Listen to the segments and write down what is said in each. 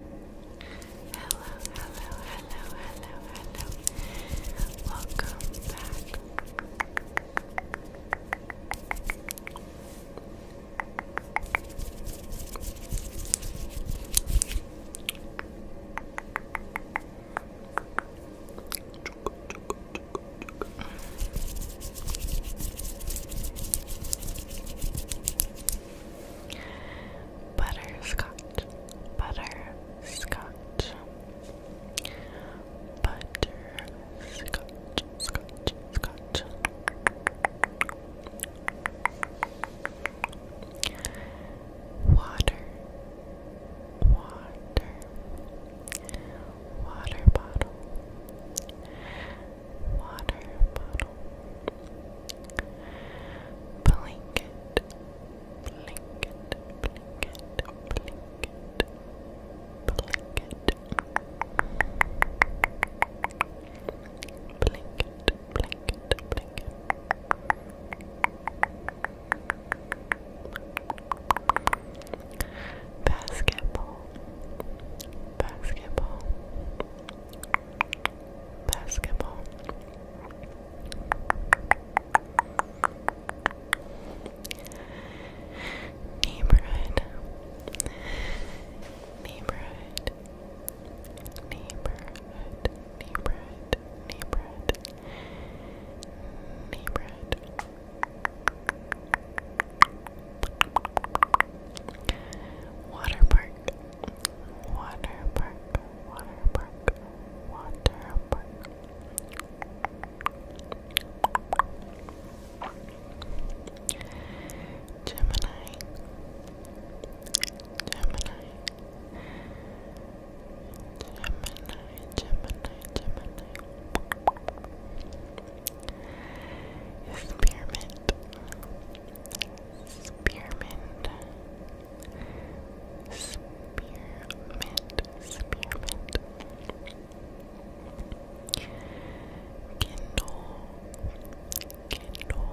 Hello, hello, hello, hello, hello. Welcome back. Butterscotch, butterscotch, butterscotch, scotch, scotch. Water, water, water bottle, water bottle. Blanket, blanket, blanket, blanket, blanket. Blanket, blanket, blanket. Basketball, basketball, basketball. Neighborhood, neighborhood, neighborhood, neighborhood, neighborhood, neighborhood, Water park, water park, water park, water park. Gemini, Gemini, Gemini, Gemini, Gemini. Spearmint. Spearmint. Spearmint. Spearmint. Kindle. Kindle. Kindle.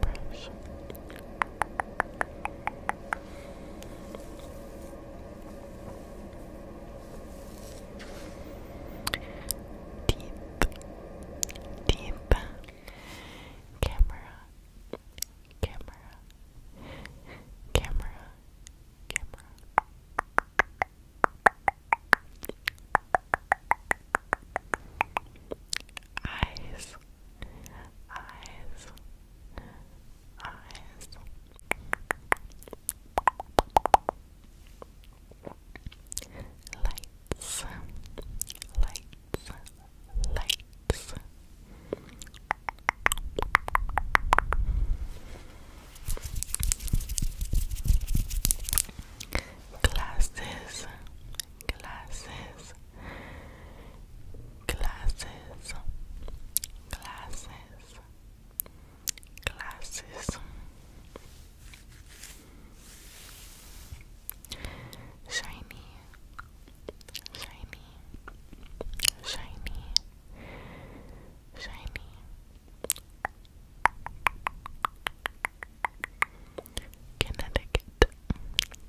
brush. Deep, deep camera, camera, camera, camera. Eyes, eyes, eyes. Lights, lights, lights glasses, glasses, glasses, glasses, glasses. Shiny, shiny, shiny, shiny, Connecticut,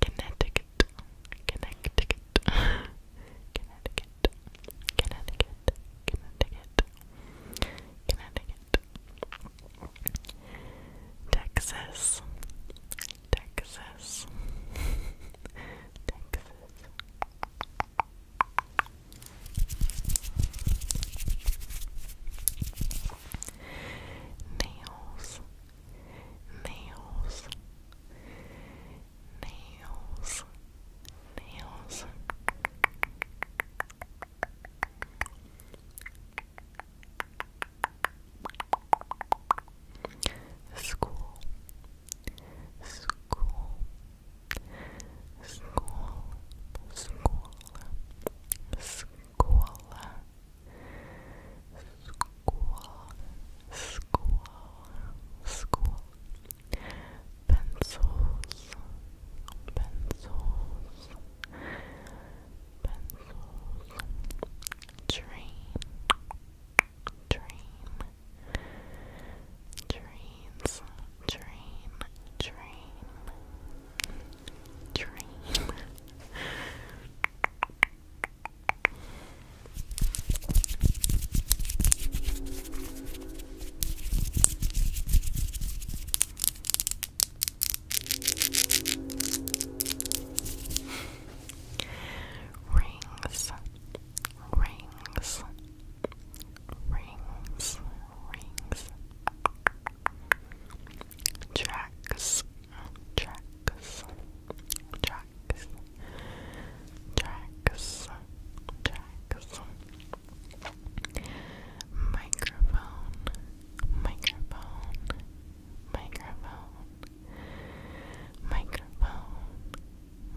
Connecticut, Connecticut, Connecticut, Connecticut, Connecticut, Connecticut, Texas, Texas, Texas, nails, nails, nails, nails. School, school, School, school, school, school, school, school. Pencils, pencils, pencils. Train, train. Dreams, train, train, train. Rings, rings, rings, rings, tracks, tracks, tracks, tracks, tracks, microphone, microphone, microphone, microphone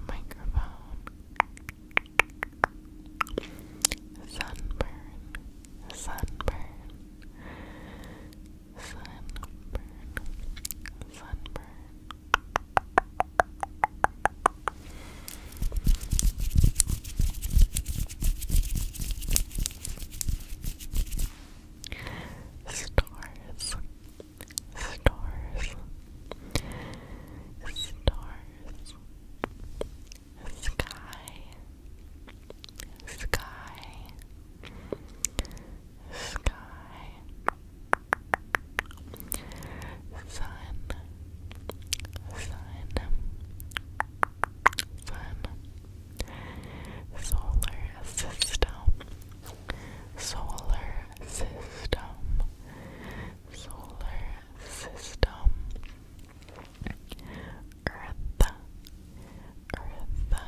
microphone, sunburn, sunburn, sunburn, sunburn. Stars, stars, stars, sky, sky, sky, sun, sun, sun, solar system solar system, solar system, earth, earth, earth,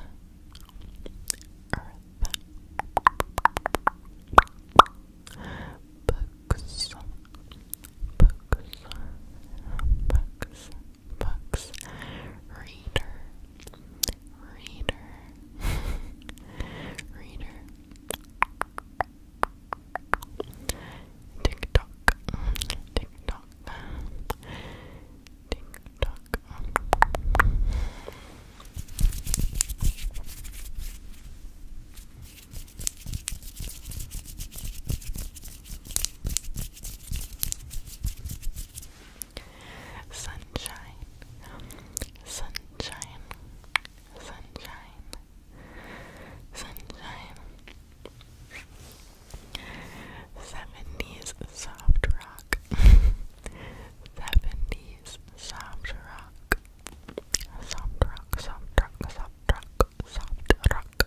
books, books, books, books, reader, Reader. Reader. Tick tock. Tick Sunshine, sunshine, sunshine, sunshine. 70s soft rock. 70s soft rock. Soft rock, soft rock, soft rock, soft rock.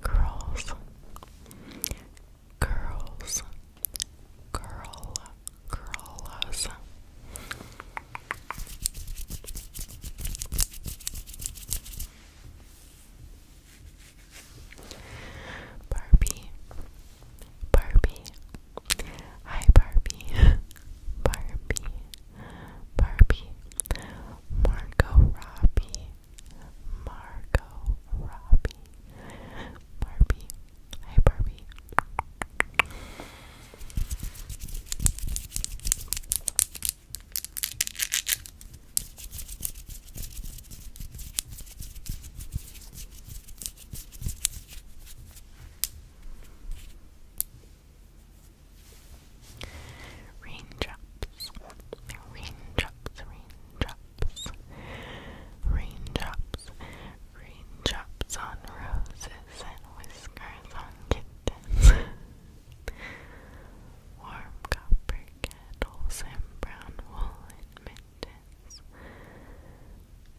Girls, girls, girls, girl, girls. Girls, Barbie, Barbie, hi Barbie, Barbie, Barbie, Margot Robbie, Margot Robbie, Barbie, hi Barbie. Raindrops, raindrops, raindrops, raindrops, raindrops on roses and whiskers on kittens. Warm copper kettles and brown wool mittens.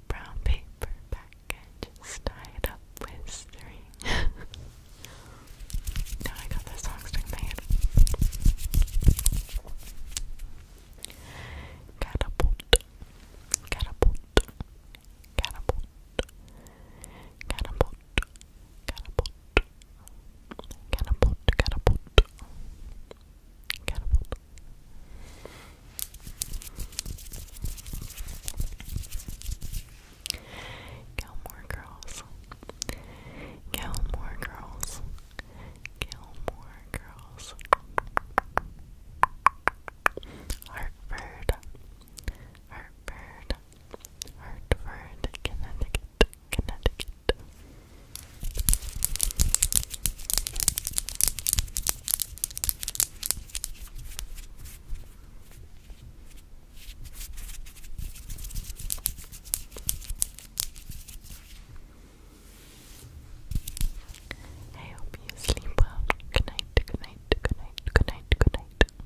Brown paper packages tied up with string. now I got the song string made. Catapult, catapult, catapult, catapult, catapult, catapult, catapult, catapult. Gilmore Girls, Gilmore Girls, Gilmore Girls. Hartford, Hartford, Hartford, Connecticut, Connecticut. I hope you sleep well. Good night, good night, good night, good night, good night.